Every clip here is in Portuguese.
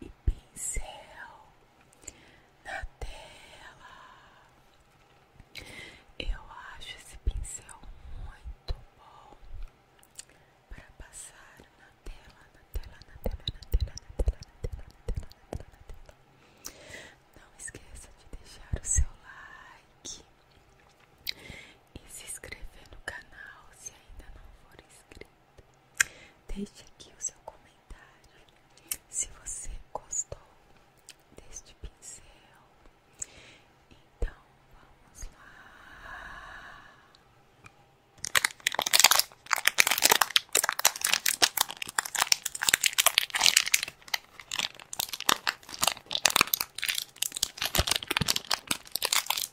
e pincel na tela. Eu acho esse pincel muito bom para passar na tela, na tela, na tela, na tela, na tela, na tela, na tela, na tela, Não esqueça de deixar o seu like e se inscrever no canal se ainda não for inscrito. Deixe aqui o seu comentário se você gostou deste pincel. Então vamos lá.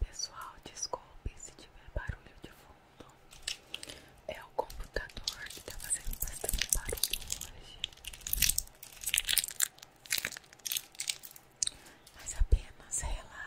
Pessoal, desculpe se tiver barulho de fundo. É o computador que tá fazendo bastante barulho hoje. Mas apenas relaxe.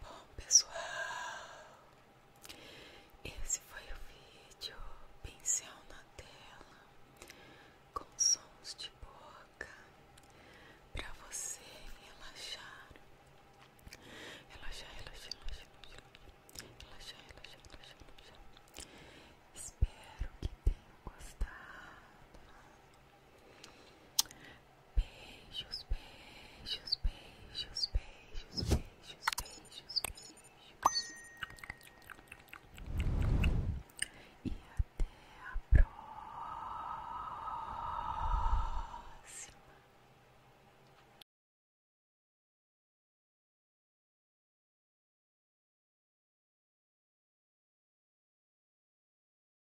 Bom pessoal, esse foi o vídeo pincel na tela com sons de boca para você relaxar. Relaxar, relaxar, relaxar, relaxar, relaxar, Espero que tenham gostado. Beijos, beijos, beijos, beijos, beijos, beijos, beijos. E até a próxima.